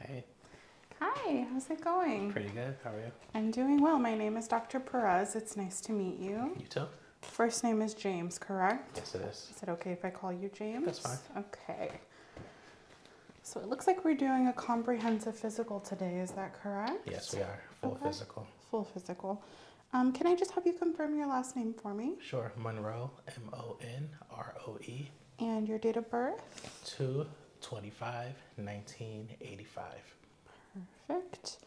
Hey. Hi, how's it going? Pretty good. How are you? I'm doing well. My name is Dr. Perez. It's nice to meet you. You too. First name is James, correct? Yes, it is. Is it okay if I call you James? That's fine. Okay. So it looks like we're doing a comprehensive physical today. Is that correct? Yes, we are. Full physical. Full physical. Um, can I just have you confirm your last name for me? Sure, Monroe, M O N R O E. And your date of birth? 2 1985. Perfect.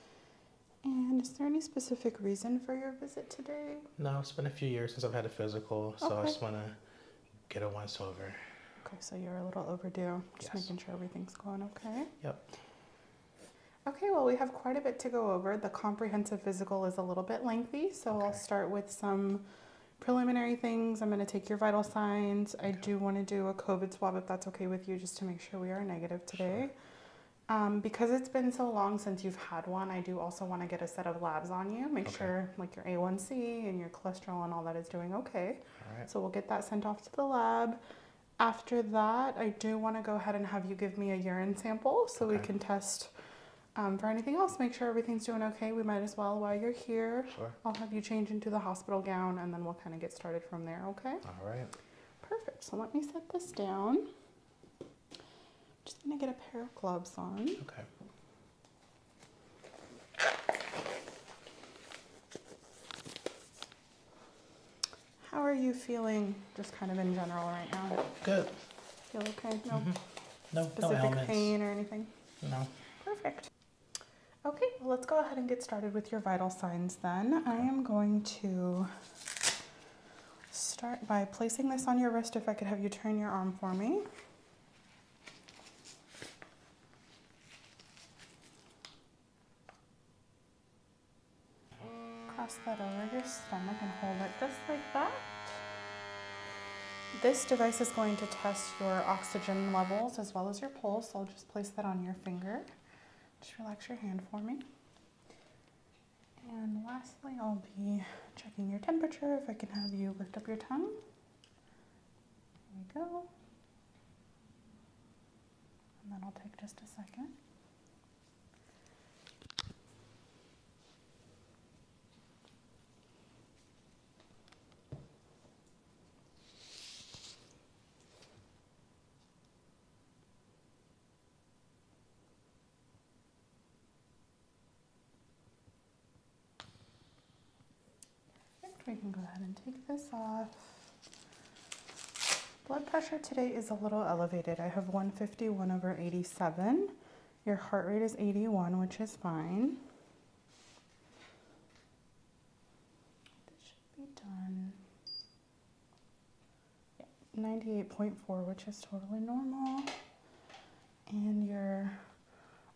And is there any specific reason for your visit today? No, it's been a few years since I've had a physical, so I just want to get a once over. Okay, so you're a little overdue. Just making sure everything's going okay. Yep. Okay, well, we have quite a bit to go over. The comprehensive physical is a little bit lengthy, so I'll start with some preliminary things. I'm going to take your vital signs. I do want to do a COVID swab if that's okay with you, just to make sure we are negative today. Um, because it's been so long since you've had one, I do also want to get a set of labs on you, make sure like your A1C and your cholesterol and all that is doing okay. So we'll get that sent off to the lab. After that, I do want to go ahead and have you give me a urine sample so we can test um, for anything else. Make sure everything's doing okay. We might as well while you're here. Sure. I'll have you change into the hospital gown and then we'll kind of get started from there, okay? All right. Perfect. So let me set this down. Just going to get a pair of gloves on. Okay. How are you feeling just kind of in general right now? Good. Feel okay? No. Mm-hmm. No, specific no pain or anything? No. Perfect. Okay, well, let's go ahead and get started with your vital signs then. I am going to start by placing this on your wrist if I could have you turn your arm for me. Cross that over your stomach and hold it just like that. This device is going to test your oxygen levels as well as your pulse. I'll just place that on your finger. Just relax your hand for me. And lastly, I'll be checking your temperature. If I can have you lift up your tongue. There we go. And i will take just a second. we can go ahead and take this off. Blood pressure today is a little elevated. I have 151 over 87. Your heart rate is 81, which is fine. This should be done. 98.4, which is totally normal. And your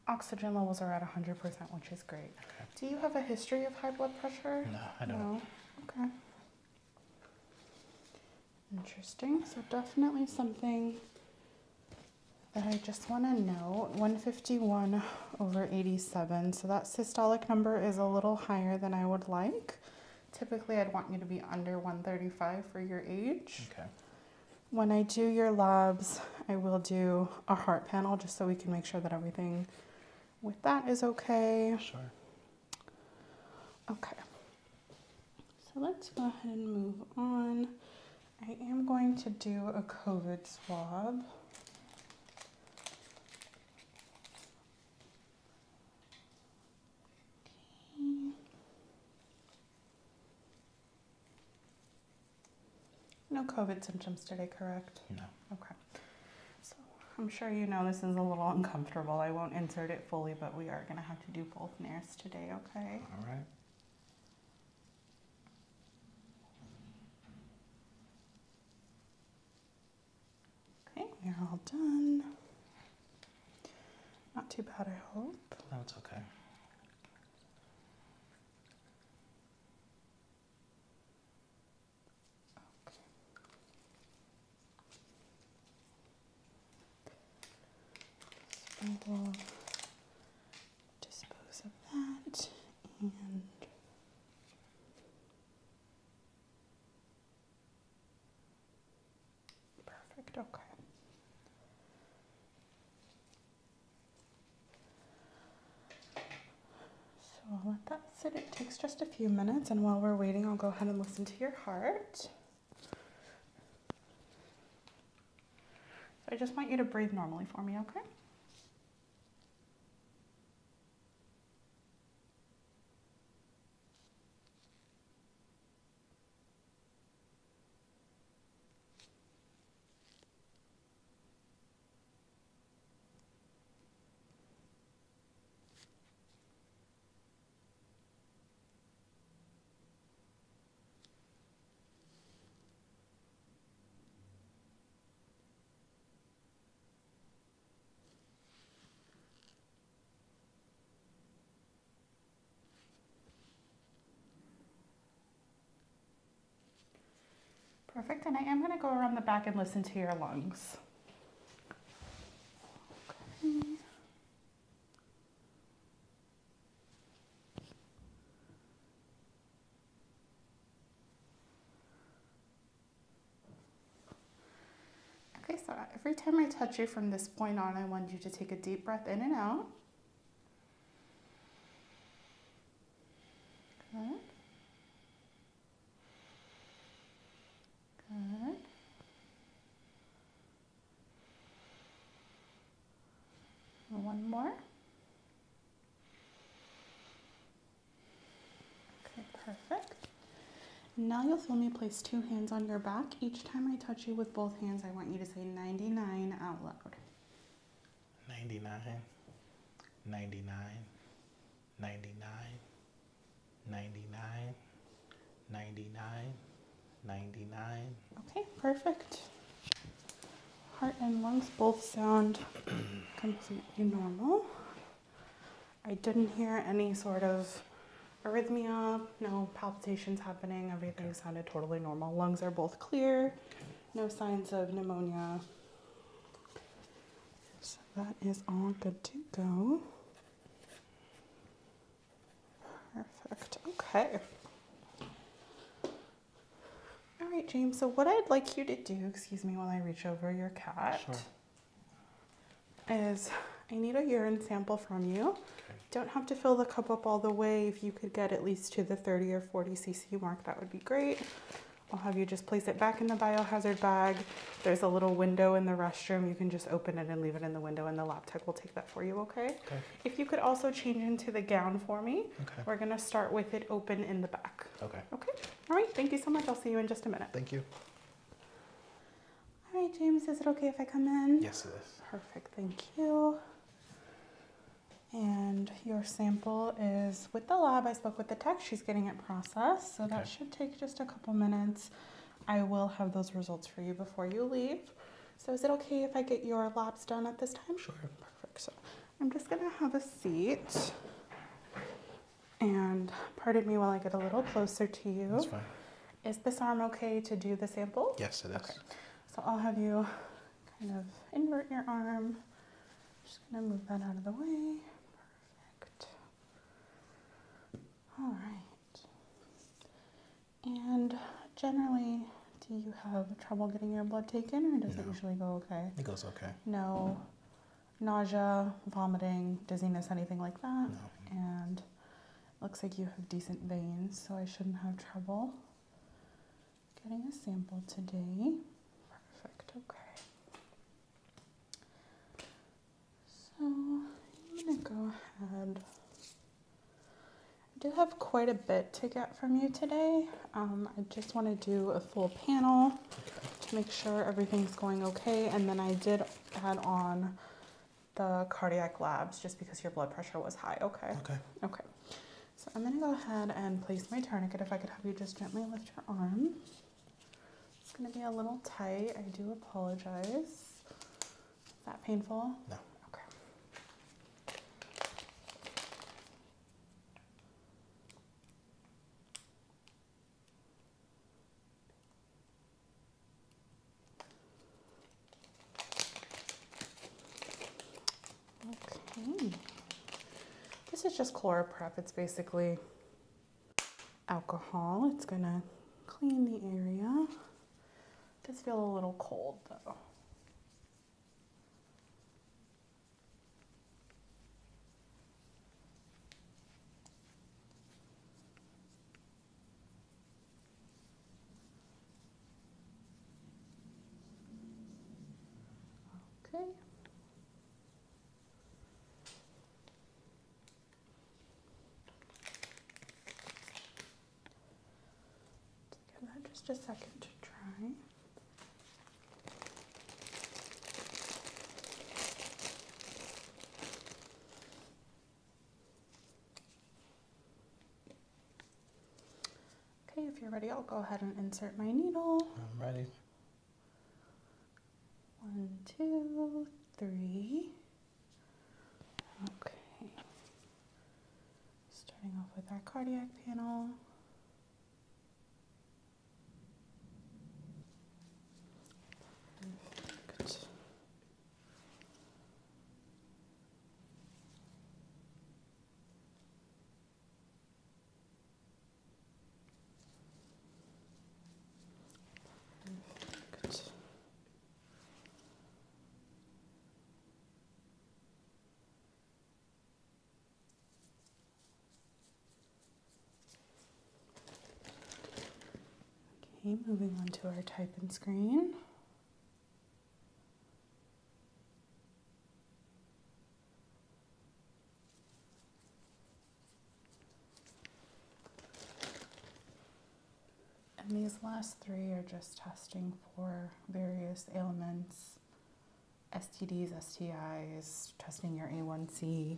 oxygen levels are at 100%, which is great. Do you have a history of high blood pressure? No, I don't. Okay. Interesting. So definitely something that I just want to note. 151 over 87. So that systolic number is a little higher than I would like. Typically, I'd want you to be under 135 for your age. Okay. When I do your labs, I will do a heart panel just so we can make sure that everything with that is okay. Sure. Okay. So let's go ahead and move on. I am going to do a COVID swab. Okay. No COVID symptoms today, correct? No. Okay. So I'm sure you know this is a little uncomfortable. I won't insert it fully, but we are going to have to do both nares today, okay? All right. Okay, we're all done. Not too bad, I hope. That's okay dispose of that perfect. Okay. So I'll let that sit. It takes just a few minutes, and while we're waiting, I'll go ahead and listen to your heart. So I just want you to breathe normally for me, okay? Perfect, and I am gonna go around the back and listen to your lungs. Okay. Okay, so every time I touch you from this point on, I want you to take a deep breath in and out. Good. Good. One more. Okay, perfect. Now you'll feel me place two hands on your back. Each time I touch you with both hands, I want you to say 99 out loud. 99. 99. 99, 99, 99, 99. Okay, perfect. Heart and lungs both sound completely normal. I didn't hear any sort of arrhythmia, no palpitations happening, everything sounded totally normal. Lungs are both clear, no signs of pneumonia. That is all good to go. Perfect. Okay. All right, James. So what I'd like you to do, excuse me while I reach over your cat, is I need a urine sample from you. Don't have to fill the cup up all the way. If you could get at least to the 30 or 40 cc mark, that would be great. I'll have you just place it back in the biohazard bag. There's a little window in the restroom. You can just open it and leave it in the window and the lab tech will take that for you, okay? Okay. If you could also change into the gown for me. Okay. We're gonna start with it open in the back. Okay. Okay, all right, thank you so much. I'll see you in just a minute. Thank you. All right, James, is it okay if I come in? Yes, it is. Perfect, thank you. And your sample is with the lab. I spoke with the tech. She's getting it processed. So that should take just a couple minutes. I will have those results for you before you leave. So is it okay if I get your labs done at this time? Sure. Perfect. So I'm just gonna have a seat. And pardon me while I get a little closer to you. That's fine. Is this arm okay to do the sample? Yes, it is. Okay. So I'll have you kind of invert your arm. Just gonna move that out of the way. Perfect. All right. And generally, do you have trouble getting your blood taken, or does it usually go okay? It goes okay. No nausea, vomiting, dizziness, anything like that. No. And looks like you have decent veins, so I shouldn't have trouble getting a sample today. Perfect. Okay. So I'm gonna go ahead. I do have quite a bit to get from you today. Um, I just want to do a full panel to make sure everything's going okay. And then I did add on the cardiac labs just because your blood pressure was high. Okay. Okay. Okay. So I'm gonna go ahead and place my tourniquet. If I could have you just gently lift your arm. It's going to be a little tight. I do apologize. Is that painful? No. Okay. Okay. This is just Chloroprep. It's basically alcohol. It's gonna clean the area. It does feel a little cold though. Okay. Give that just a second to dry. Okay, if you're ready, I'll go ahead and insert my needle. I'm ready. One, two, three. Okay. Starting off with our cardiac panel. Perfect. Okay, moving on to our type and screen. And these last three are just testing for various ailments, STDs, STIs, testing your A1C,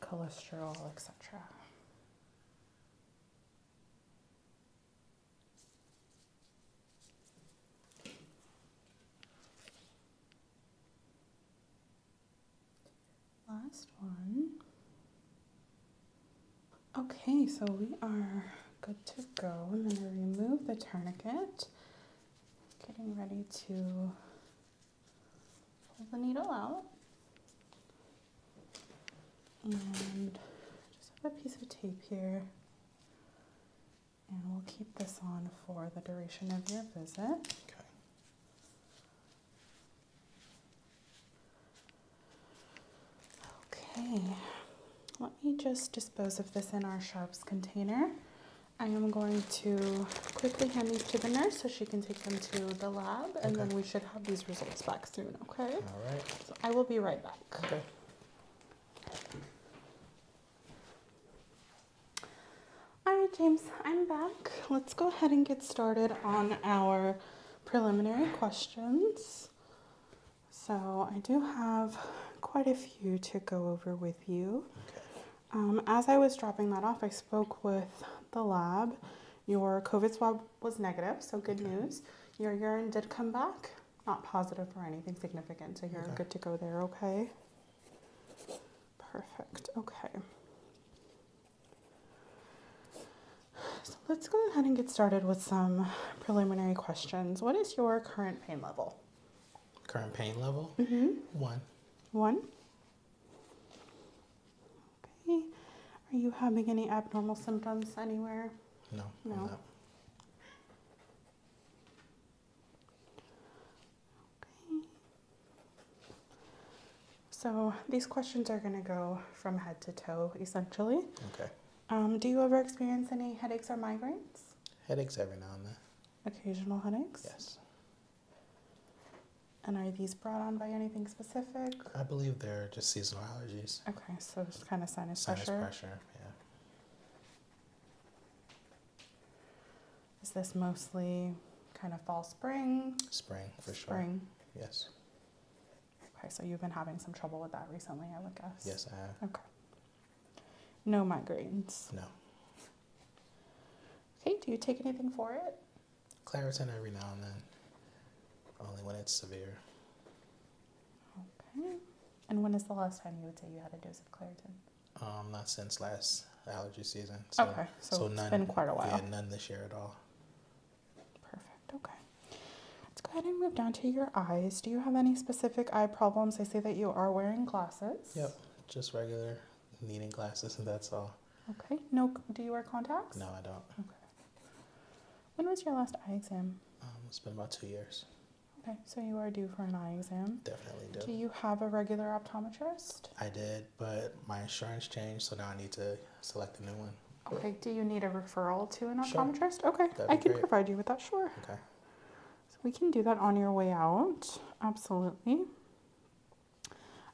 cholesterol, etc. Last one. Okay, so we are good to go. I'm going to remove the tourniquet. Getting ready to pull the needle out. And just have a piece of tape here. And we'll keep this on for the duration of your visit. Okay. Okay, let me just dispose of this in our sharps container. I am going to quickly hand these to the nurse so she can take them to the lab and then we should have these results back soon, okay? All right. So I will be right back. All right, James, I'm back. Let's go ahead and get started on our preliminary questions. So I do have quite a few to go over with you. Um, as I was dropping that off, I spoke with the lab. Your COVID swab was negative, so good news. Your urine did come back, not positive for anything significant, so you're good to go there, okay? Perfect. Okay. So let's go ahead and get started with some preliminary questions. What is your current pain level? Current pain level? Mm -hmm. One. One? Okay. Are you having any abnormal symptoms anywhere? No. No. Okay. So these questions are going to go from head to toe, essentially. Okay. Um, do you ever experience any headaches or migraines? Headaches every now and then. Occasional headaches? Yes. And are these brought on by anything specific? I believe they're just seasonal allergies. Okay, so it's kind of sinus, pressure. Sinus pressure, yeah. Is this mostly kind of fall, spring? Spring, for sure. Spring. Yes. Okay, so you've been having some trouble with that recently, I would guess. Yes, I have. Okay. No migraines. No. Okay, do you take anything for it? Claritin every now and then, only when it's severe. Okay. And when is the last time you would say you had a dose of Claritin? Um, not since last allergy season. So, okay, so, none, been quite a while. none this year at all. Perfect. Okay. Let's go ahead and move down to your eyes. Do you have any specific eye problems? I see that you are wearing glasses. Yep, just regular needing glasses, and that's all. Okay. No, do you wear contacts? No, I don't. Okay. When was your last eye exam? Um, it's been about two years. Okay, so you are due for an eye exam. Definitely do. Do you have a regular optometrist? I did but my insurance changed, so now I need to select a new one. Okay, do you need a referral to an optometrist? Okay, I can provide you with that, sure. Okay. So we can do that on your way out, absolutely.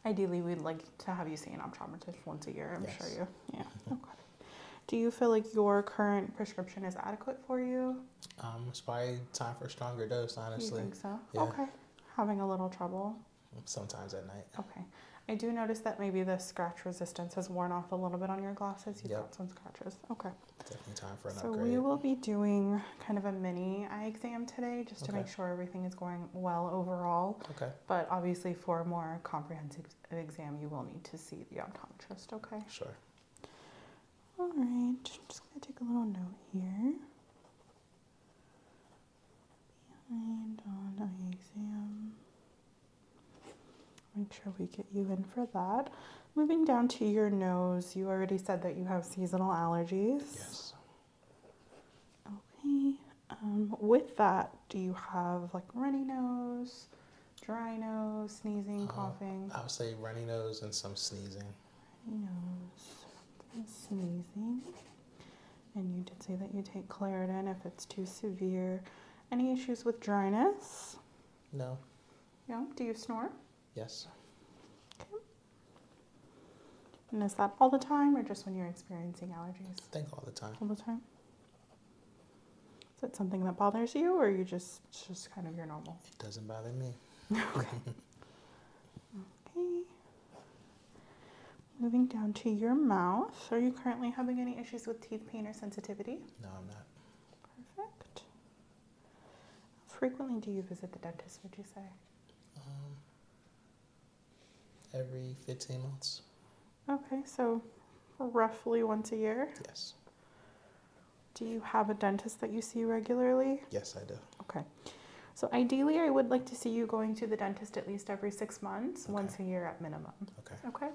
Ideally, we'd like to have you see an optometrist once a year, I'm sure you. Yeah, mm-hmm. okay. Do you feel like your current prescription is adequate for you? Um, it's probably time for a stronger dose, honestly. You think so? Okay having a little trouble? Sometimes at night. Okay. I do notice that maybe the scratch resistance has worn off a little bit on your glasses. You've got some scratches. Okay. Definitely time for an upgrade. So we will be doing kind of a mini eye exam today just to make sure everything is going well overall. Okay. But obviously for a more comprehensive exam, you will need to see the optometrist, okay? Sure. All right. I'm just going to take a little note here. Behind on exam. Make sure we get you in for that. Moving down to your nose, you already said that you have seasonal allergies. Yes. Okay. Um, with that, do you have like runny nose, dry nose, sneezing, uh, coughing? I would say runny nose and some sneezing nose and sneezing. And you did say that you take Claritin if it's too severe. Any issues with dryness? No. No? Do you snore? Yes. Okay. And is that all the time or just when you're experiencing allergies? I think all the time. All the time? Is that something that bothers you or you just, just kind of your normal? It doesn't bother me. okay. Okay. Moving down to your mouth. Are you currently having any issues with teeth pain or sensitivity? No, I'm not. Perfect. frequently do you visit the dentist, would you say? Um, every 15 months. Okay, so roughly once a year? Yes. Do you have a dentist that you see regularly? Yes, I do. Okay. So ideally, I would like to see you going to the dentist at least every six months, once a year at minimum. Okay. Okay.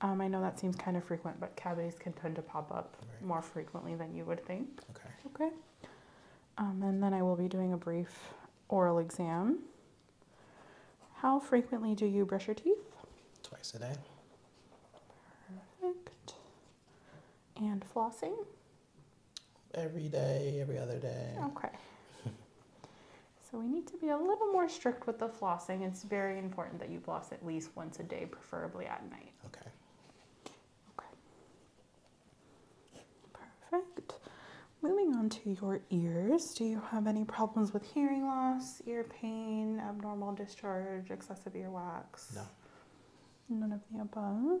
Um, I know that seems kind of frequent, but cavities can tend to pop up more frequently than you would think. Okay. Okay. Um, and then I will be doing a brief oral exam. How frequently do you brush your teeth? Twice a day. Perfect. And flossing? Every day, every other day. Okay. so we need to be a little more strict with the flossing. It's very important that you floss at least once a day, preferably at night. Okay. Okay. Perfect. Moving on to your ears, do you have any problems with hearing loss, ear pain, abnormal discharge, excessive earwax? No. None of the above.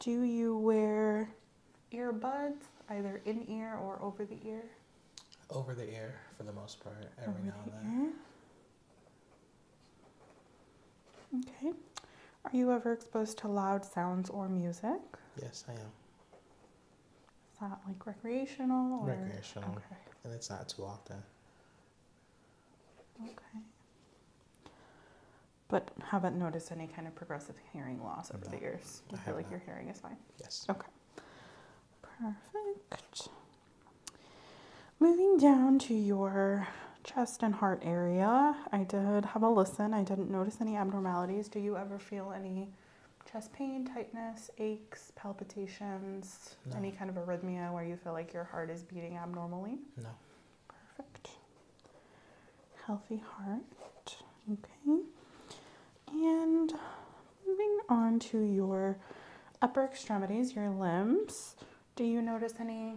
Do you wear earbuds, either in ear or over the ear? Over the ear for the most part, every now and then. Okay. Are you ever exposed to loud sounds or music? Yes, I am. Is that like recreational? Or? Recreational. Okay. And it's not too often. Okay but haven't noticed any kind of progressive hearing loss over the years. I feel like your hearing is fine? Yes. Okay. Perfect. Moving down to your chest and heart area, I did have a listen. I didn't notice any abnormalities. Do you ever feel any chest pain, tightness, aches, palpitations, any kind of arrhythmia where you feel like your heart is beating abnormally? No. Perfect. Healthy heart. Okay. And moving on to your upper extremities, your limbs. Do you notice any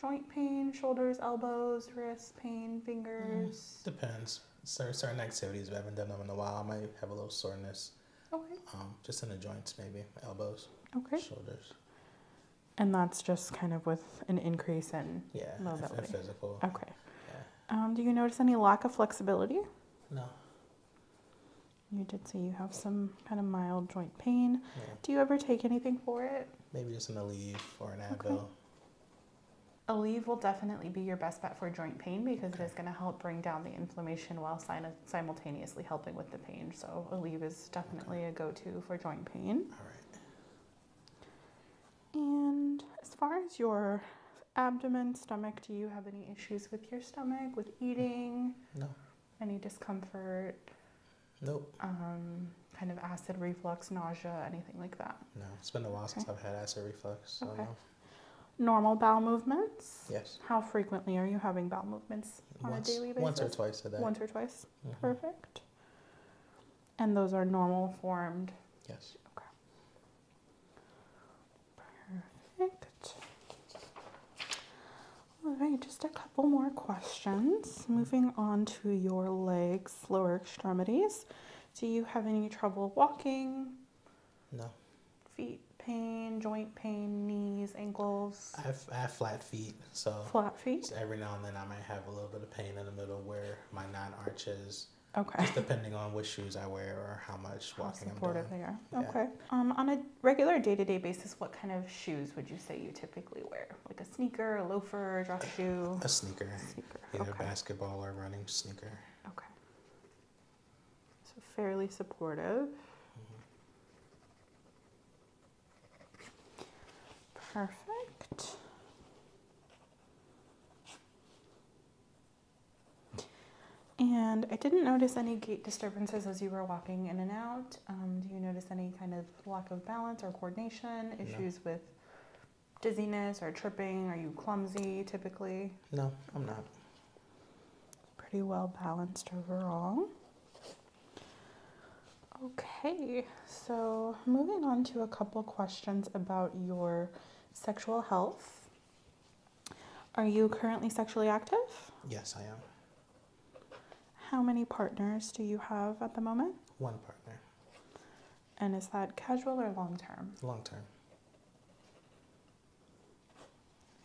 joint pain, shoulders, elbows, wrists, pain, fingers? Mm-hmm. depends. Certain, activities, we haven't done them in a while, I might have a little soreness. Okay. Um, just in the joints, maybe elbows, okay. shoulders. And that's just kind of with an increase in mobility. physical. Okay. Um, do you notice any lack of flexibility? No. You did say you have some kind of mild joint pain. Do you ever take anything for it? Maybe just an Aleve or an Advil. Okay. Aleve will definitely be your best bet for joint pain because it is going to help bring down the inflammation while simultaneously helping with the pain. So Aleve is is definitely a go-to for joint pain. All right. And as far as your abdomen, stomach, do you have any issues with your stomach, with eating? No. Any discomfort? Nope. Um, kind of acid reflux, nausea, anything like that? No. It's been a while since I've had acid reflux. okay. Normal bowel movements? Yes. How frequently are you having bowel movements on a daily basis? Once or twice a day. Once or twice? Mm-hmm. Perfect. And those are normal formed? Yes. Okay. Perfect. All right, just a couple more questions. Moving on to your legs, lower extremities. Do you have any trouble walking? No. Feet pain, joint pain, knees, ankles? I have flat feet. So flat feet. Every now and then I might have a little bit of pain in the middle where my non arches. Okay. Just depending on which shoes I wear or how much how walking I'm doing. they are. Okay. Um, on a regular day-to-day basis, what kind of shoes would you say you typically wear? Like a sneaker, a loafer, a drop shoe? A sneaker. A sneaker. Either basketball or running sneaker. Okay. So fairly supportive. Mm-hmm. Perfect. And I didn't notice any gait disturbances as you were walking in and out. Um, do you notice any kind of lack of balance or coordination, issues with dizziness or tripping? Are you clumsy typically? No, I'm not. Pretty well balanced overall. Okay, so moving on to a couple questions about your sexual health. Are you currently sexually active? Yes, I am. How many partners do you have at the moment? One partner. And is that casual or long term? Long term.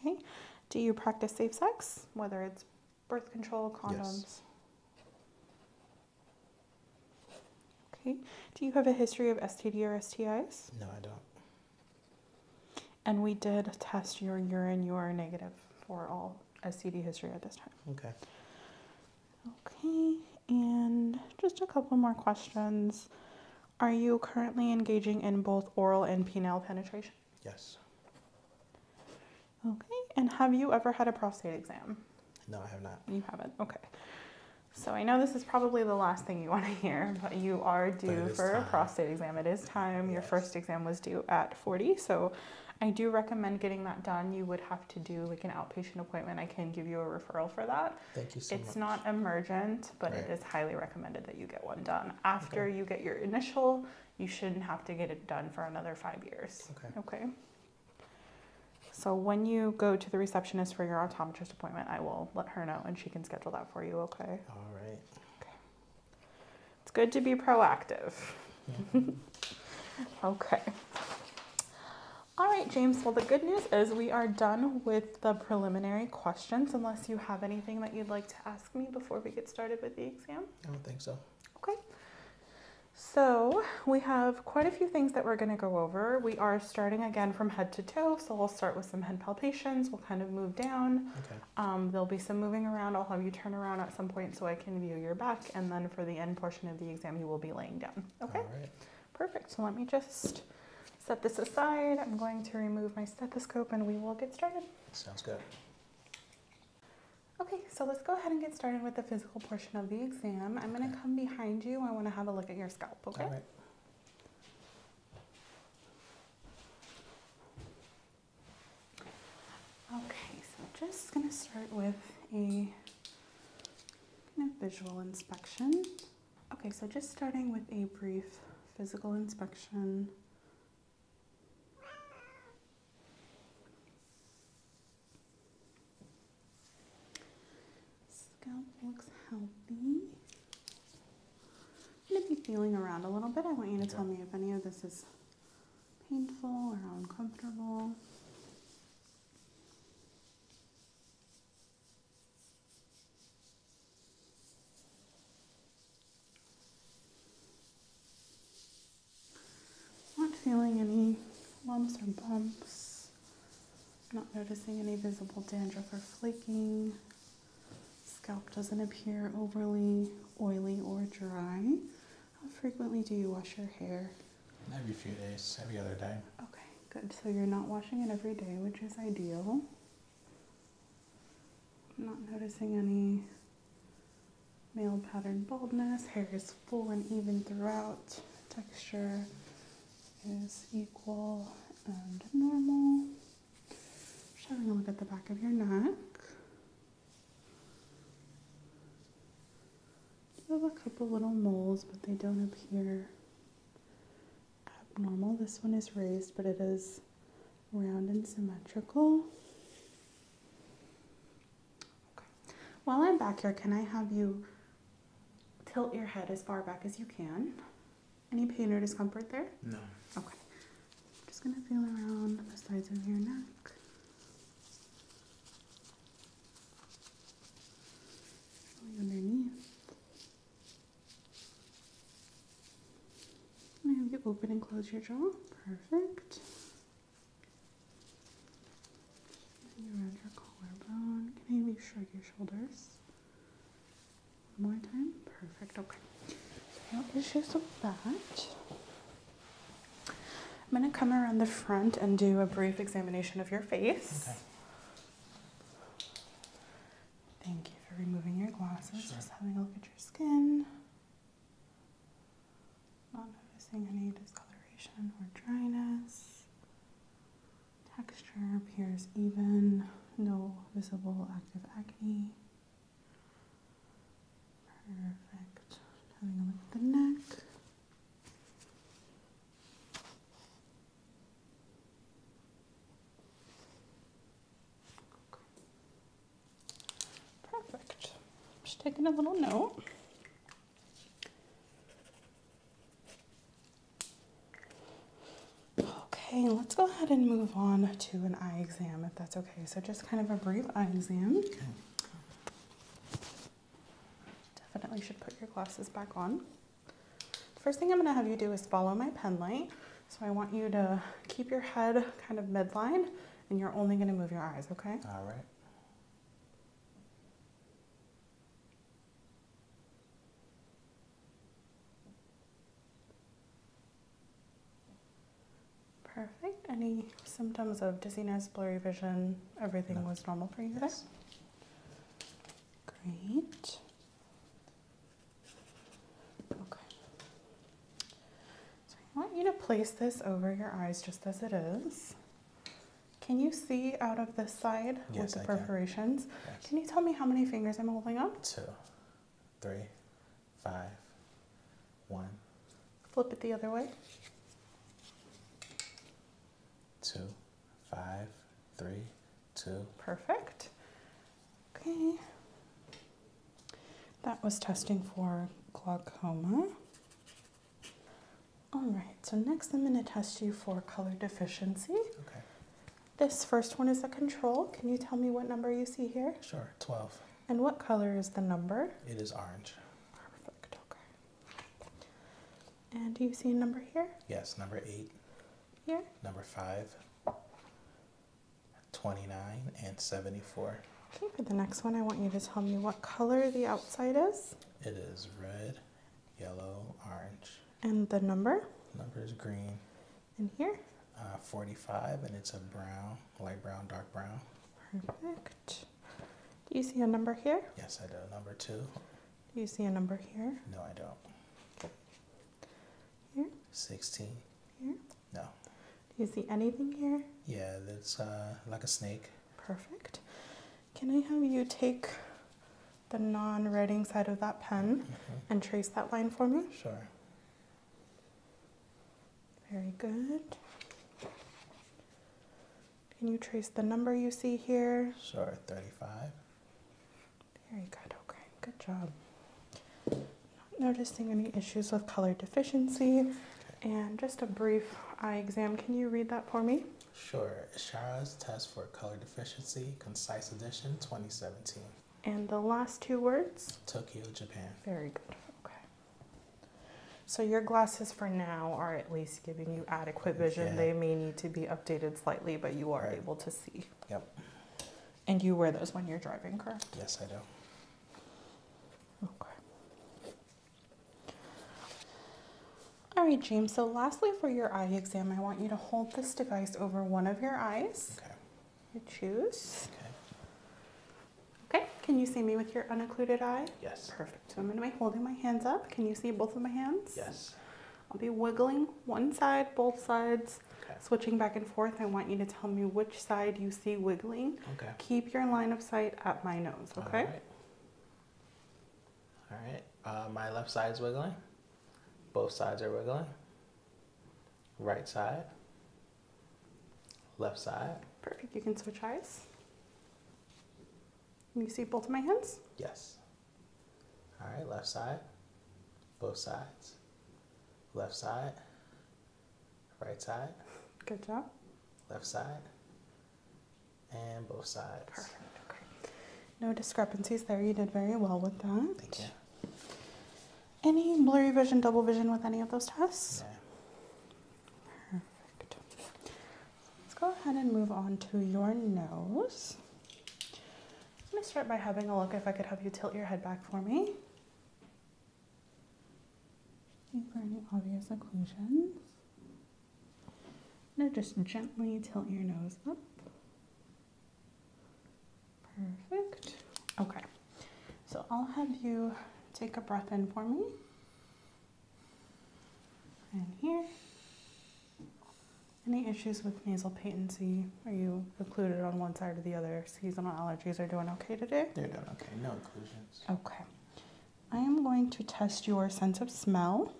Okay. Do you practice safe sex, whether it's birth control, condoms. Okay. Do you have a history of STD or STIs? No, I don't. And we did test your urine. You are negative for all STD history at this time. Okay. Okay. And just a couple more questions. Are you currently engaging in both oral and penile penetration? Yes. Okay, and have you ever had a prostate exam? No, I have not. You haven't? Okay. So I know this is probably the last thing you want to hear, but you are due for a prostate exam. It is time. Your first exam was due at 40, so I do recommend getting that done. You would have to do like an outpatient appointment. I can give you a referral for that. Thank you so it's much. It's not emergent, but it is highly recommended that you get one done after you get your initial you shouldn't have to get it done for another five years. Okay. Okay. So when you go to the receptionist for your optometrist appointment, I will let her know and she can schedule that for you, okay? All right. Okay. It's good to be proactive. Mm-hmm. okay. All right, James. Well, the good news is we are done with the preliminary questions, unless you have anything that you'd like to ask me before we get started with the exam. I don't think so. Okay, so we have quite a few things that we're going to go over. We are starting again from head to toe, so we'll start with some head palpations. We'll kind of move down. Okay. Um, there'll be some moving around. I'll have you turn around at some point so I can view your back, and then for the end portion of the exam, you will be laying down. Okay. All right. Perfect. So let me just set this aside. I'm going to remove my stethoscope, and we will get started. Sounds good. Okay, so let's go ahead and get started with the physical portion of the exam. I'm gonna come behind you. I wanna have a look at your scalp, okay? Okay, so just gonna start with a kind of visual inspection. Okay, so just starting with a brief physical inspection Scalp looks healthy. I'm going to be feeling around a little bit. I want you to tell me if any of this is painful or uncomfortable. Not feeling any lumps or bumps. Not noticing any visible dandruff or flaking. Scalp doesn't appear overly oily or dry. How frequently do you wash your hair? Every few days, every other day. Okay, good. So you're not washing it every day, which is ideal. Not noticing any male pattern baldness, hair is full and even throughout, texture is equal and normal. Just having a look at the back of your neck. You have a couple little moles, but they don't appear abnormal. This one is raised, but it is round and symmetrical. While I'm back here, can I have you tilt your head as far back as you can? Any pain or discomfort there? No. Okay. I'm just going to feel around the sides of your neck. Really underneath. Now you open and close your jaw. Perfect around your collarbone. Can you maybe shrug your shoulders? One more time. Perfect. Okay. So no issues with that. I'm going to come around the front and do a brief examination of your face. Okay. Thank you for removing your glasses. Just having a look at your skin. Not noticing any discoloration or dryness. Texture appears even, no visible active acne. Perfect. Having a look at the neck. Perfect. Just taking a little note. Okay, let's go ahead and move on to an eye exam if that's okay. So just kind of a brief eye exam. Definitely should put your glasses back on. First thing I'm gonna have you do is follow my pen light. So I want you to keep your head kind of midline and you're only gonna move your eyes, okay? All right. Perfect. Any symptoms of dizziness, blurry vision? Everything was normal for you yes. Great. Okay. I want you to place this over your eyes just as it is. Can you see out of this side with the I perforations? Can. Yes. can you tell me how many fingers I'm holding up? Two, three, five, one. Flip it the other way. Two, five, three, two. Perfect. Okay. That was testing for glaucoma. All right, so next I'm going to test you for color deficiency. Okay. This first one is a control. Can you tell me what number you see here? Sure, 12. And what color is the number? It is orange. Perfect, okay. And do you see a number here? Yes, number 8. Here? Number 5, 29, and 74. Okay, for the next one, I want you to tell me what color the outside is. It is red, yellow, orange. And the number? number is green. And here? Uh, 45, and it's a brown, light brown, dark brown. Perfect. Do you see a number here? Yes, I do. Number two. Do you see a number here? No, I don't. Here? 16. Here? No. Do you see anything here? Yeah, that's uh, like a snake. Perfect. Can I have you take the non writing side of that pen mm-hmm. and trace that line for me? Sure. Very good. Can you trace the number you see here? Sure, 35. Very good, okay, good job. Not noticing any issues with color deficiency. And just a brief eye exam. Can you read that for me? Sure. Shara's Test for Color Deficiency, Concise Edition 2017. And the last two words? Tokyo, Japan. Very good. Okay. So your glasses for now are at least giving you adequate vision. They may need to be updated slightly, but you are able to see. Yep. And you wear those when you're driving, correct? Yes, I do. Okay. All right, James, so lastly for your eye exam, I want you to hold this device over one of your eyes. Okay. You choose. Okay. Okay, can you see me with your unoccluded eye? Yes. Perfect. So I'm going to be holding my hands up. Can you see both of my hands? Yes. I'll be wiggling one side, both sides, switching back and forth. I want you to tell me which side you see wiggling, keep your line of sight at my nose, okay? All right. Uh, my left side is wiggling. Both sides are wiggling. Right side. Left side. Perfect. You can switch eyes. Can you see both of my hands? Yes. All right. Left side. Both sides. Left side. Right side. Good job. Left side. And both sides. Perfect. No discrepancies there. You did very well with that. Thank you. Any blurry vision, double vision with any of those tests? Perfect. Let's go ahead and move on to your nose. Let me start by having a look if I could have you tilt your head back for me for any obvious occlusions. Now just gently tilt your nose up. Perfect. Okay, so I'll have you take a breath in for me. And here. Any issues with nasal patency? Are you occluded on one side or the other? Seasonal allergies are doing okay today? They're doing okay. No occlusions. Okay. I am going to test your sense of smell.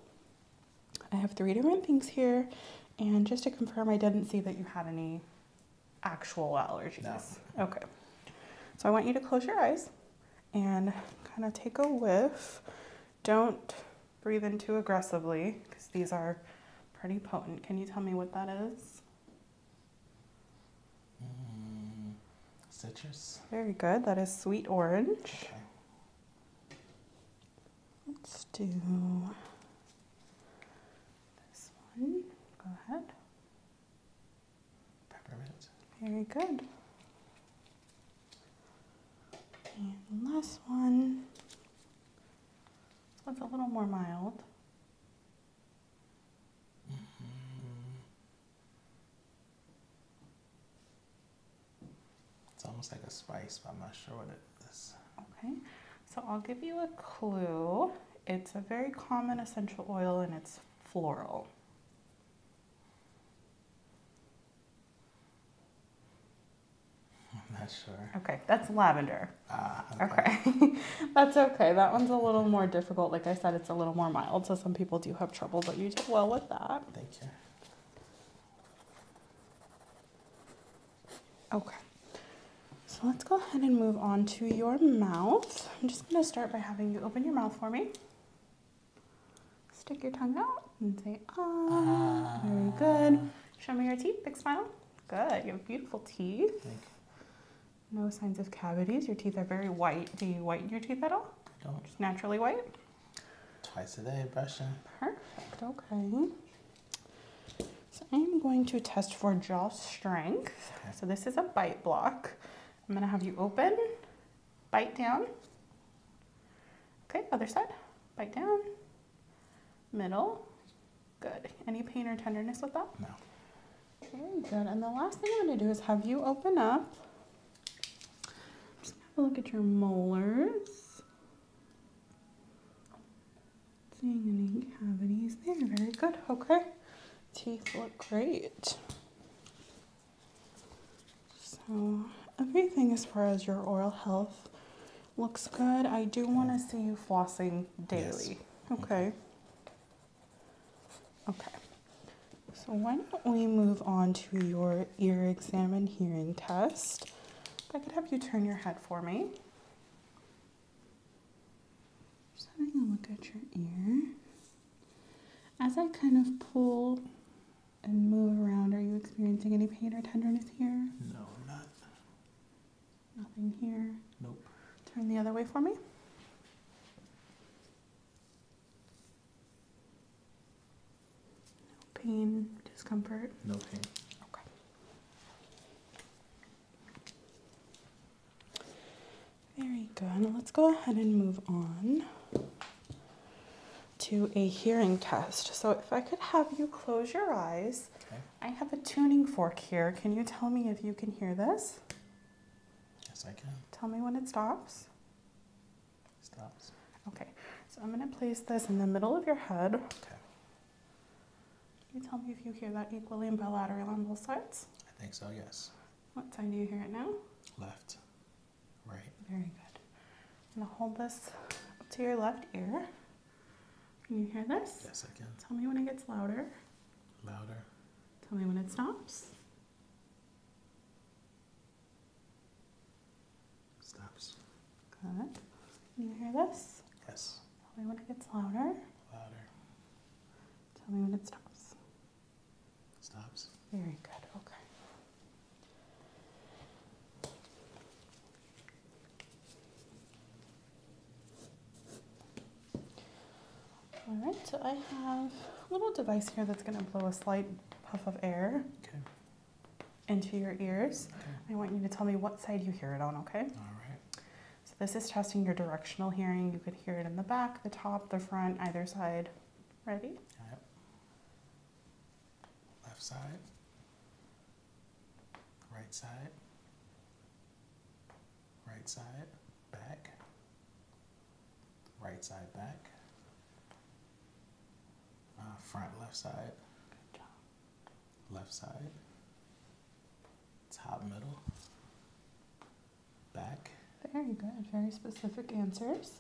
I have three different things here, and just to confirm, I didn't see that you had any actual allergies. No. Okay. So I want you to close your eyes and kind of take a whiff. Don't breathe in too aggressively because these are pretty potent. Can you tell me what that is? Mm, citrus. Very good. That is sweet orange. Let's do this one. Go ahead. Peppermint. Very good. And last one. This a little more mild. Mm-hmm. It's almost like a spice, but I'm not sure what it is. Okay, so I'll give you a clue. It's a very common essential oil and it's floral. I'm not sure. Okay, that's lavender. Ah, okay. That's okay. That one's a little more difficult. Like I said, it's a little more mild, so some people do have trouble, but you did well with that. Thank you. Okay. So let's go ahead and move on to your mouth. I'm just going to start by having you open your mouth for me. Stick your tongue out and say, ah. Very good. Ah. Show me your teeth. Big smile. Good. You have beautiful teeth. No signs of cavities. Your teeth are very white. Do you whiten your teeth at all? I Just naturally white? Twice a day brushing. Perfect, okay. So I'm going to test for jaw strength. So this is a bite block. I'm gonna have you open, bite down. Okay, other side, bite down, middle. Good. Any pain or tenderness with that? No. Very good. And the last thing I'm going to do is have you open up. Just have a look at your molars. Seeing any cavities there. Very good. Okay. Teeth look great. So everything as far as your oral health looks good. I do want to see you flossing daily. Okay. Mm-hmm. Okay, so why don't we move on to your ear exam and hearing test? I could have you turn your head for me. Just having a look at your ear. As I kind of pull and move around, are you experiencing any pain or tenderness here? No, not. Nothing here? Nope. Turn the other way for me. No pain, discomfort? No pain. Okay. Very good. let's go ahead and move on to a hearing test. So if I could have you close your eyes. I have a tuning fork here. Can you tell me if you can hear this? Yes, I can. Tell me when it stops. It stops. Okay, so I'm going to place this in the middle of your head. Okay. you tell me if you hear that equally and bilateral on both sides? I think so, yes. What side do you hear it now? Left. Right. Very good. I'm going to hold this up to your left ear. Can you hear this? Yes, I can. Tell me when it gets louder. Louder. Tell me when it stops. Stops. Good. You hear this? Yes. Tell me when it gets louder. Louder. Tell me when it stops. Stops. Very good. Okay. All right, so I have a little device here that's going to blow a slight puff of air into your ears. I want you to tell me what side you hear it on, okay? All right. So this is testing your directional hearing. You could hear it in the back, the top, the front, either side. Ready? All right. Left side. Right side right side, back, right side, back, uh, front, left side, left side, top, middle, back. Very good, very specific answers.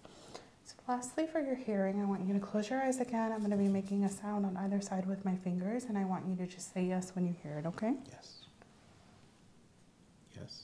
So lastly for your hearing, I want you to close your eyes again. I'm gonna be making a sound on either side with my fingers and I want you to just say yes when you hear it, okay? Yes. Yes.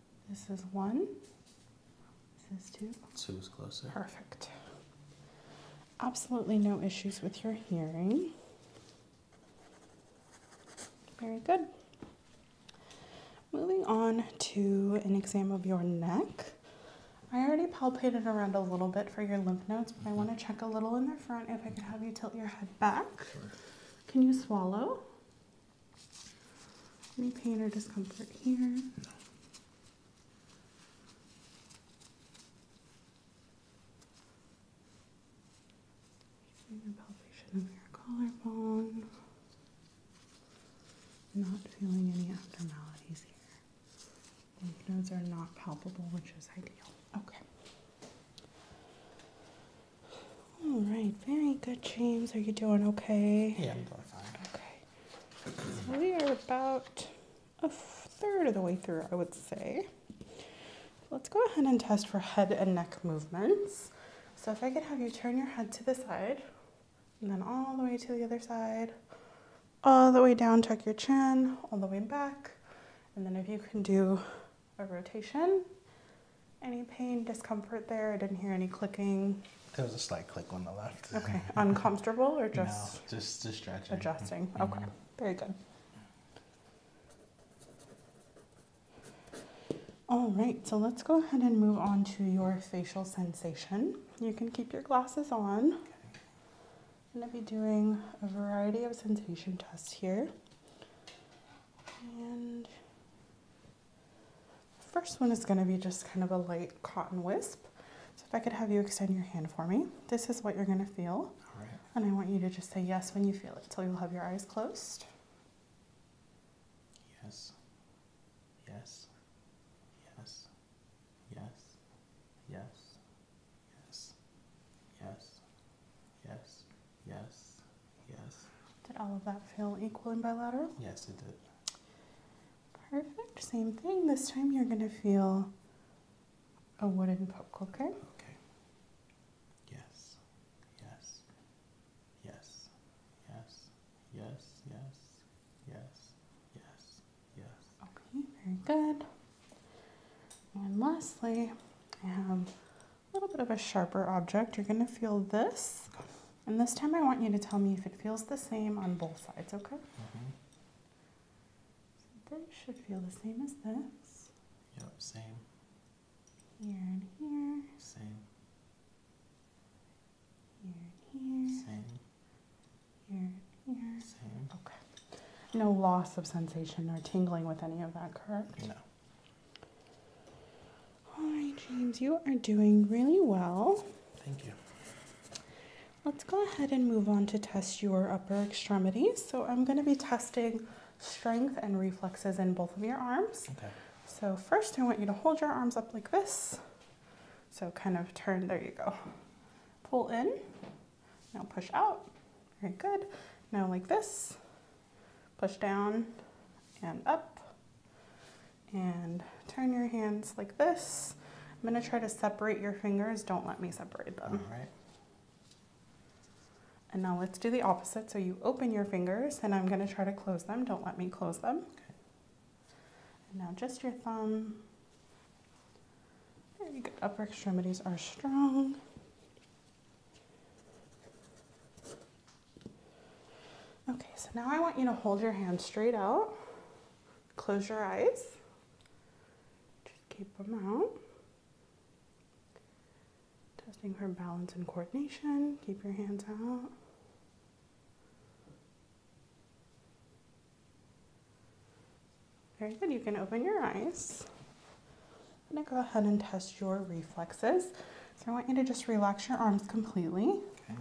This is one. This is two. Two is closer. Perfect. Absolutely no issues with your hearing. Very good. Moving on to an exam of your neck. I already palpated around a little bit for your lymph nodes, but I mm-hmm. want to check a little in the front if I could have you tilt your head back. Sure. Can you swallow? Any pain or discomfort here? No. palpation of your collarbone. Not feeling any abnormalities here. Lymph nodes are not palpable, which is ideal. Okay. All right, very good, James. Are you doing okay? Yeah, I'm doing fine. Okay. So we are about a third of the way through, I would say. Let's go ahead and test for head and neck movements. So if I could have you turn your head to the side, and then all the way to the other side, all the way down, tuck your chin, all the way back. And then if you can do a rotation, any pain, discomfort there? I didn't hear any clicking. There was a slight click on the left. Okay. Uncomfortable or just? No, just, stretching. Adjusting. Mm-hmm. Okay. Very good. All right, so let's go ahead and move on to your facial sensation. You can keep your glasses on. I'm going to be doing a variety of sensation tests here. And the first one is going to be just kind of a light cotton wisp. So if I could have you extend your hand for me, this is what you're going to feel. And I want you to just say yes when you feel it. So you'll have your eyes closed. Yes. Yes. Yes. Yes. Yes. Yes. Yes. Yes. Yes. Did all of that feel equal and bilateral? Yes, it did. Perfect, same thing. This time you're going to feel a wooden pop. okay? Okay. Yes, yes, yes, yes, yes, yes, yes, yes, yes. Okay, very good. And lastly, I have a little bit of a sharper object. You're going to feel this. And this time I want you to tell me if it feels the same on both sides, okay? Mm-hmm. this should feel the same as this. Yep, same. Here and here. Same. Here and here. Same. Here and here. Same. Okay. No loss of sensation or tingling with any of that, correct? No. Hi, James, you are doing really well. Thank you. Let's go ahead and move on to test your upper extremities. So I'm going to be testing strength and reflexes in both of your arms. Okay. So first I want you to hold your arms up like this. So kind of turn, there you go. Pull in, now push out, very good. Now like this, push down and up, and turn your hands like this. I'm gonna try to separate your fingers. Don't let me separate them. All right. And now let's do the opposite. So you open your fingers and I'm gonna try to close them. Don't let me close them. Okay. And now just your thumb. Very good. Upper extremities are strong. Okay, so now I want you to hold your hands straight out. Close your eyes. Just keep them out. Testing her balance and coordination. Keep your hands out. Very good. You can open your eyes. I'm going to go ahead and test your reflexes. So I want you to just relax your arms completely. Okay.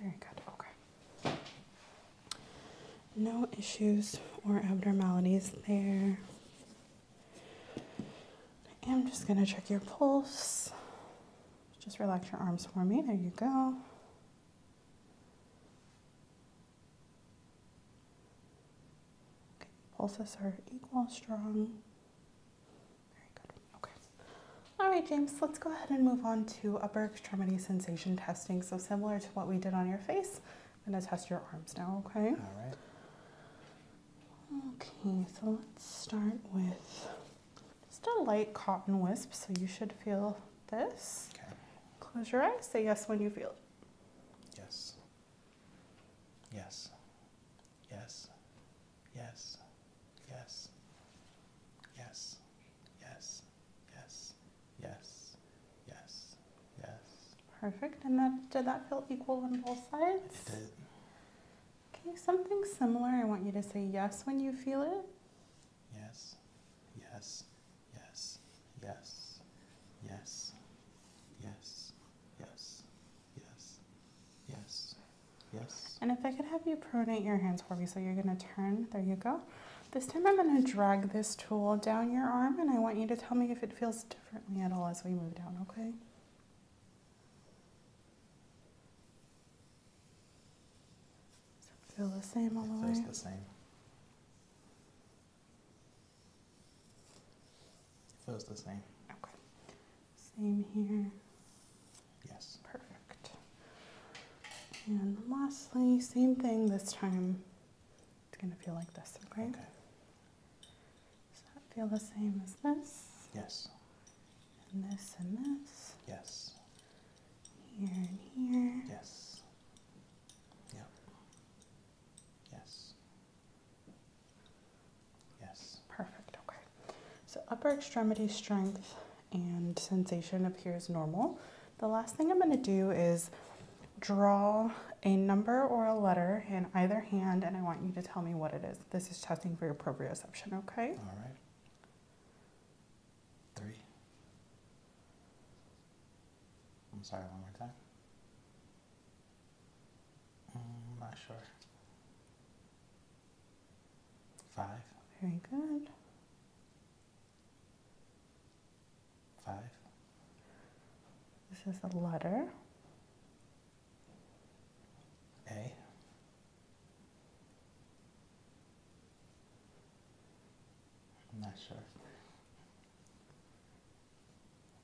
Very good. Okay. No issues or abnormalities there. I am just going to check your pulse. Just relax your arms for me. There you go. Okay, pulses are equal, strong. Very good. Okay. All right, James, let's go ahead and move on to upper extremity sensation testing. So similar to what we did on your face, I'm gonna test your arms now, okay? All right. Okay, so let's start with just a light cotton wisp. So you should feel this. Okay. Close your eyes, say yes when you feel it. Yes. Yes. Yes. Yes. Yes. Yes. Yes. Yes. Yes. Yes. Yes. Perfect. And that did that feel equal on both sides? It did. Okay, something similar. I want you to say yes when you feel it. Yes. Yes. Yes. Yes. Yes. Yes. Yes. Yes. Yes. Yes. And if I could have you pronate your hands for me, so you're going to turn. There you go. This time I'm going to drag this tool down your arm, and I want you to tell me if it feels differently at all as we move down, okay? feel the same all the way? feels the same. It feels the same. Okay. Same here. Yes. Perfect. And lastly, same thing this time. It's going to feel like this, okay? Okay. Does that feel the same as this? Yes. And this and this? Yes. Here and here? Yes. Yep. Yes. Yes. Perfect, okay. So upper extremity strength and sensation appears normal. The last thing I'm going to do is draw a number or a letter in either hand, and I want you to tell me what it is. This is testing for your proprioception, okay? All right. Three. I'm sorry, one more time. I'm mm, not sure. Five. Very good. Five. This is a letter. A. I'm not sure.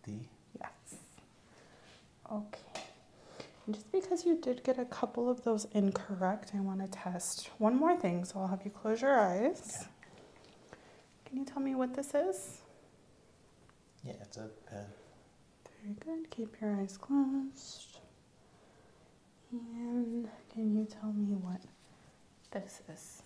D. Yes. Okay. just because you did get a couple of those incorrect, I want to test one more thing, so I'll have you close your eyes. Can you tell me what this is? Yeah, it's a pen. Very good. Keep your eyes closed. And can you tell me what this is?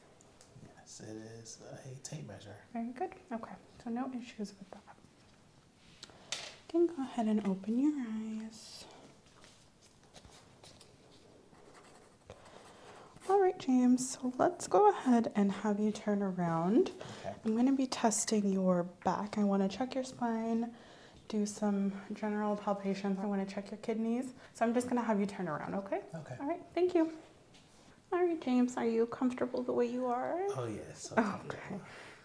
Yes, it is a tape measure. Very good. Okay, so no issues with that. Then go ahead and open your eyes. All right, James, so let's go ahead and have you turn around. Okay. I'm going to be testing your back. I want to check your spine, do some general palpations. I want to check your kidneys. So I'm just going to have you turn around, okay? Okay. All right, thank you. All right, James, are you comfortable the way you are? Oh, yes. okay.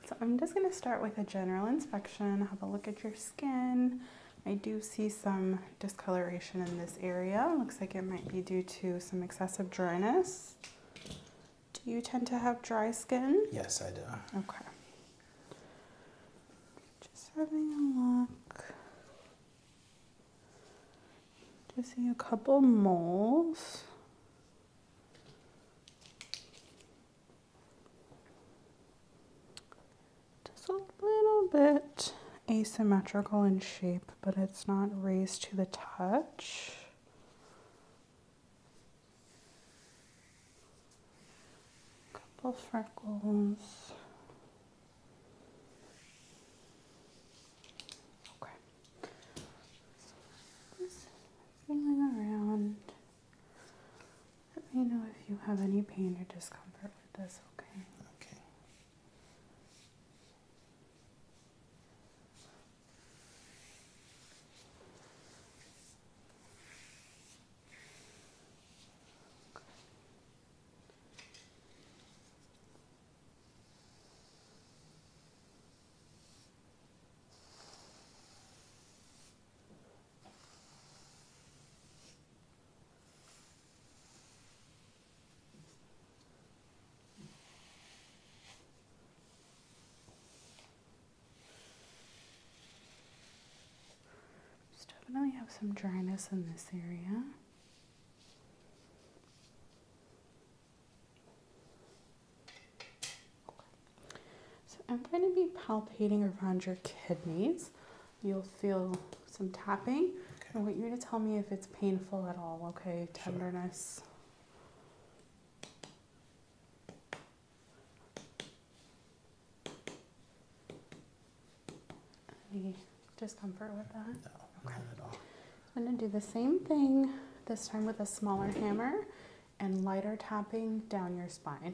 So I'm just going to start with a general inspection, have a look at your skin. I do see some discoloration in this area. Looks like it might be due to some excessive dryness. Do you tend to have dry skin? Yes, I do. Okay. Just having a look. Just see a couple moles. Just a little bit asymmetrical in shape, but it's not raised to the touch. Couple freckles. Okay. feeling around. Let me know if you have any pain or discomfort with this, okay? Okay. Just definitely have some dryness in this area. So I'm going to be palpating around your kidneys. You'll feel some tapping. I want you to tell me if it's painful at all, okay? Tenderness. Any discomfort with that? No, not at all. I'm going to do the same thing this time with a smaller hammer and lighter tapping down your spine.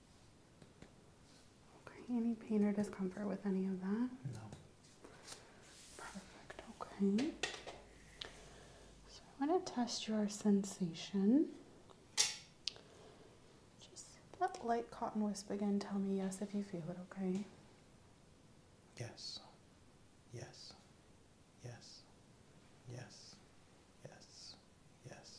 Okay, any pain or discomfort with any of that? No. Perfect, okay. So i want to test your sensation. Just that light cotton wisp again. Tell me yes if you feel it, okay? Yes. Yes. Yes. Yes. Yes. Yes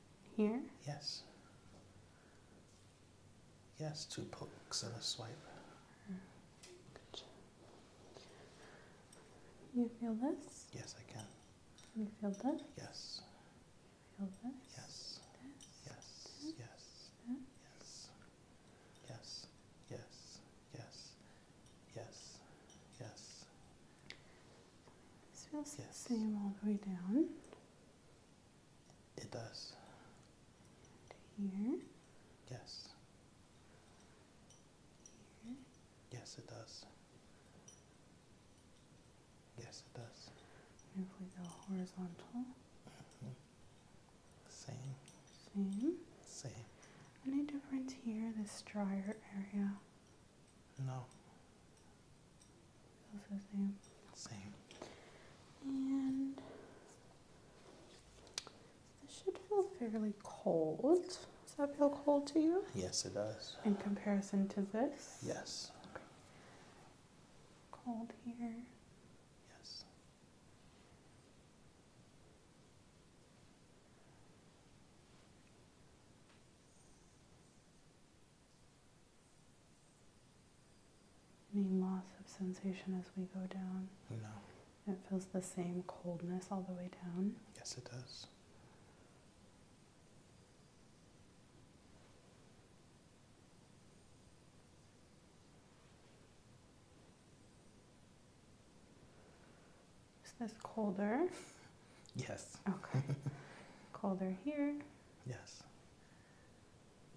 here? Yes. Yes, two pokes and a swipe. Good. You feel this? Yes, I can. You feel this? Yes. You feel this? Yes. This? Yes. This? Yes. This? Yes. Yes. Yes. Yes. Yes. Yes. This feels the same all the way down. It does. here. Yes. Here. Yes, it does. Yes, it does. if we go horizontal. Mm-hmm. Same. Same. Same. Any difference here, this drier area? No. Feels same. Same. And this should feel fairly cold. Does that feel cold to you? Yes, it does. In comparison to this? Yes. Cold here. Yes. Any loss of sensation as we go down? No. It feels the same coldness all the way down? Yes, it does. Is this colder? Yes. Okay. colder here. Yes.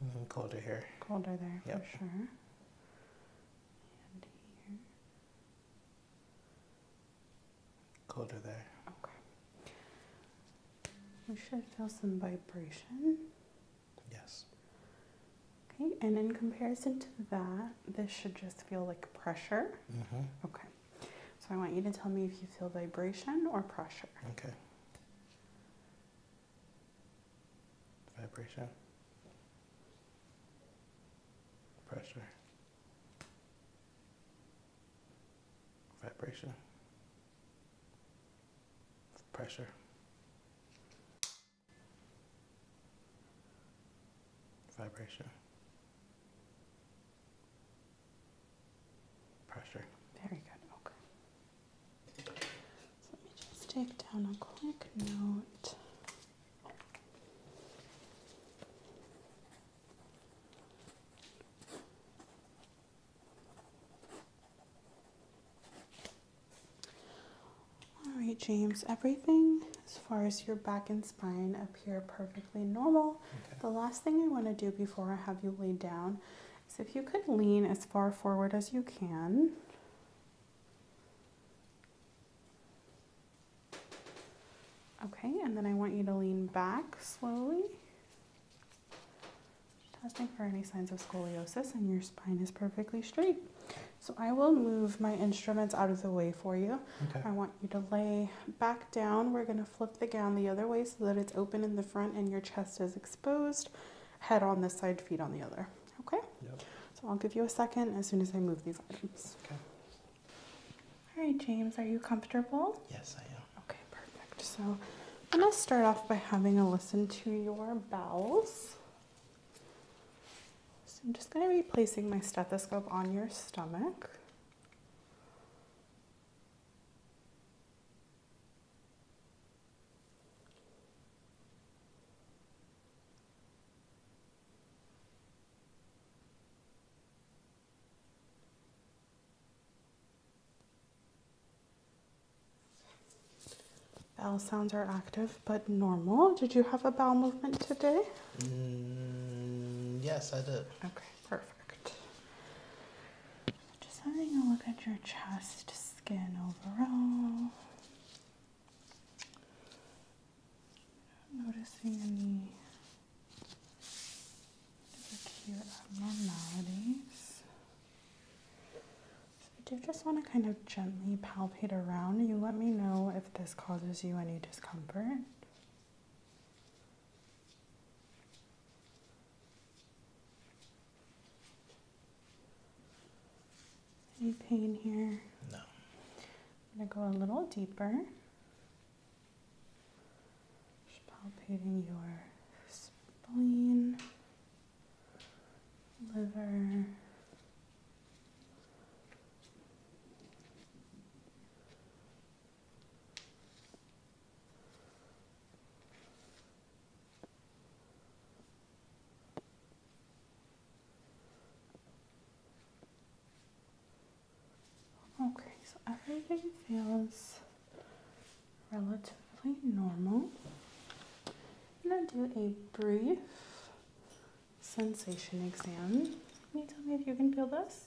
Mm-hmm, colder here. Colder there yep. for sure. And here. Colder there. Okay. We should feel some vibration. Yes. Okay, and in comparison to that, this should just feel like pressure. Mm -hmm. Okay. So I want you to tell me if you feel vibration or pressure. Okay. Vibration. Pressure. Vibration. Pressure. Vibration. Pressure. Very good. Okay. let me just take down a quick note. All right, James, everything as far as your back and spine appear perfectly normal. The last thing I want to do before I have you lay down is if you could lean as far forward as you can. Okay, and then I want you to lean back slowly. Testing for any signs of scoliosis, and your spine is perfectly straight. So I will move my instruments out of the way for you. I want you to lay back down. We're going to flip the gown the other way so that it's open in the front and your chest is exposed. Head on this side, feet on the other. Okay? Yep. So I'll give you a second as soon as I move these Okay. All right, James, are you comfortable? Yes, I am. Okay, perfect. So I'm going to start off by having a listen to your bowels. So I'm just going to be placing my stethoscope on your stomach. Bowel sounds are active but normal. Did you have a bowel movement today? Mm, yes, I did. Okay, perfect. Just having a look at your chest skin overall. noticing any cute abnormalities. I do just want to kind of gently palpate around. You let me know if this causes you any discomfort. Any pain here? No. I'm going to go a little deeper. Just palpating your spleen, liver. Okay, so everything feels relatively normal. I'm gonna do a brief sensation exam. Can you tell me if you can feel this?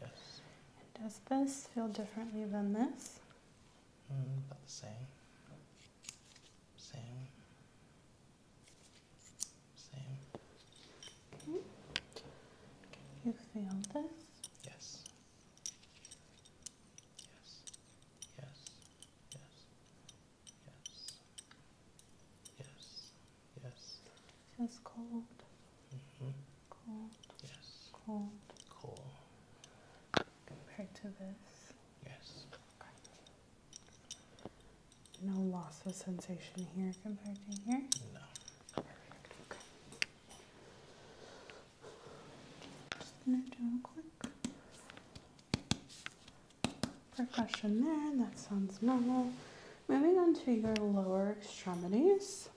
Yes. And does this feel differently than this? Mm, about the same. Same. Same. Okay. You feel this? Yes. Yes. Yes. Yes. Yes. Yes. Yes. Feels cold. Mm -hmm. Yes. Cold. Cold. Compared to this. Yes. No loss of sensation here compared to here. No. Perfect. Okay. Just gonna do a quick percussion there. That sounds normal. Moving on to your lower extremities.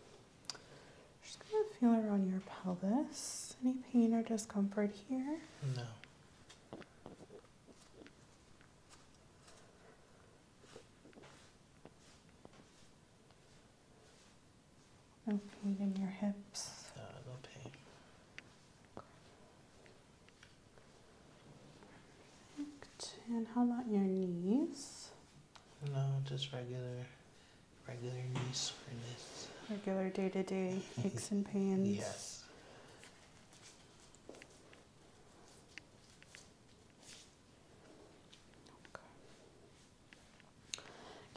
Just gonna feel around your pelvis. Any pain or discomfort here? No. No pain in your hips. No, no pain. And how about your knees? No, just regular, regular for this. Regular day to day aches and pains. Yes. Okay.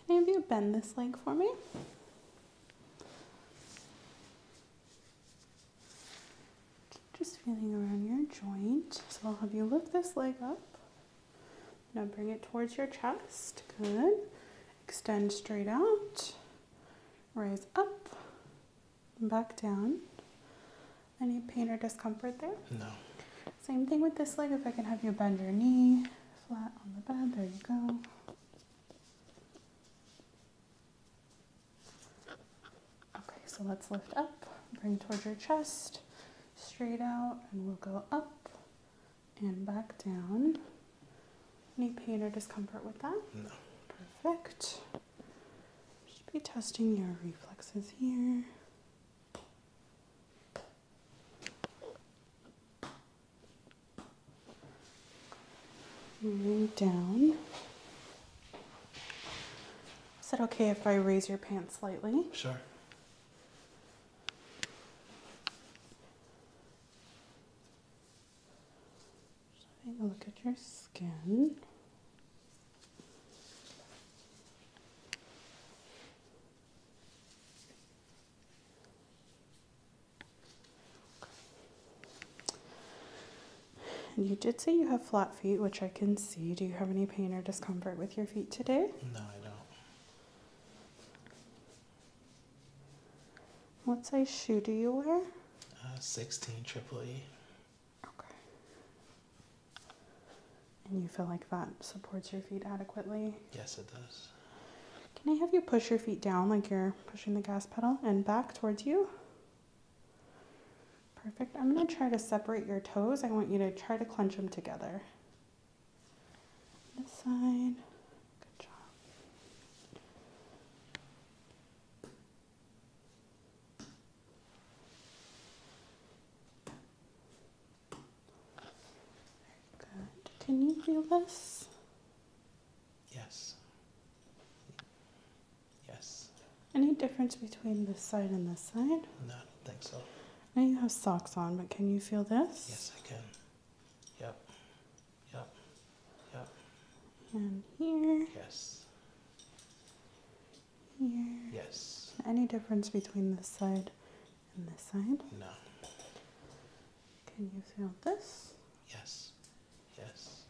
Can any of you bend this leg for me? Just feeling around your joint. So I'll have you lift this leg up. Now bring it towards your chest. Good. Extend straight out. Rise up. Back down. Any pain or discomfort there? No. Same thing with this leg. If I can have you bend your knee flat on the bed. There you go. Okay, so let's lift up. Bring towards your chest straight out and we'll go up and back down. Any pain or discomfort with that? No. Perfect. Just be testing your reflexes here. Moving down. Is it okay if I raise your pants slightly? Sure. Just a look at your skin. you did say you have flat feet, which I can see. Do you have any pain or discomfort with your feet today? No, I don't. What size shoe do you wear? Uh, 16 triple E. Okay. And you feel like that supports your feet adequately? Yes, it does. Can I have you push your feet down like you're pushing the gas pedal and back towards you? Perfect. I'm going to try to separate your toes. I want you to try to clench them together. This side. Good job. Good. Can you feel this? Yes. Yes. Any difference between this side and this side? No, I don't think so. Now you have socks on, but can you feel this? Yes, I can. Yep. Yep. Yep. And here. Yes. Here. Yes. Any difference between this side and this side? No. Can you feel this? Yes. Yes.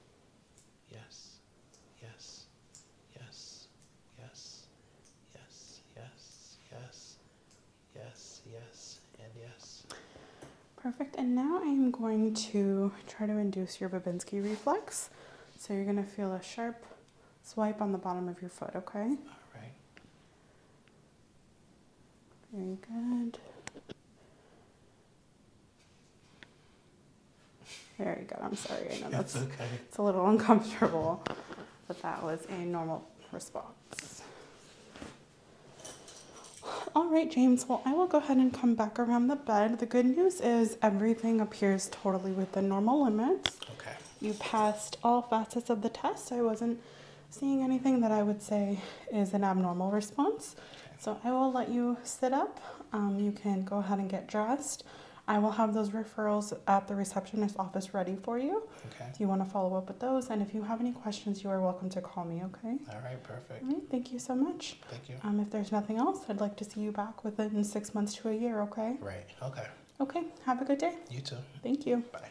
Yes. Yes yes, yes, yes, yes, yes, yes, yes, and yes. Perfect. And now I am going to try to induce your Babinski reflex. So you're going to feel a sharp swipe on the bottom of your foot, okay? All right. Very good. Very good. I'm sorry. I know that's okay. It's a little uncomfortable. But that was a normal response. All right, James, well, I will go ahead and come back around the bed. The good news is everything appears totally within normal limits. Okay. You passed all facets of the test. I wasn't seeing anything that I would say is an abnormal response. Okay. So I will let you sit up. Um, you can go ahead and get dressed. I will have those referrals at the receptionist office ready for you. Okay. Do you want to follow up with those? And if you have any questions, you are welcome to call me, okay? All right, perfect. thank you so much. Thank you. Um, if there's nothing else, I'd like to see you back within six months to a year, okay? Right, okay. Okay, have a good day. You too. Thank you. Bye.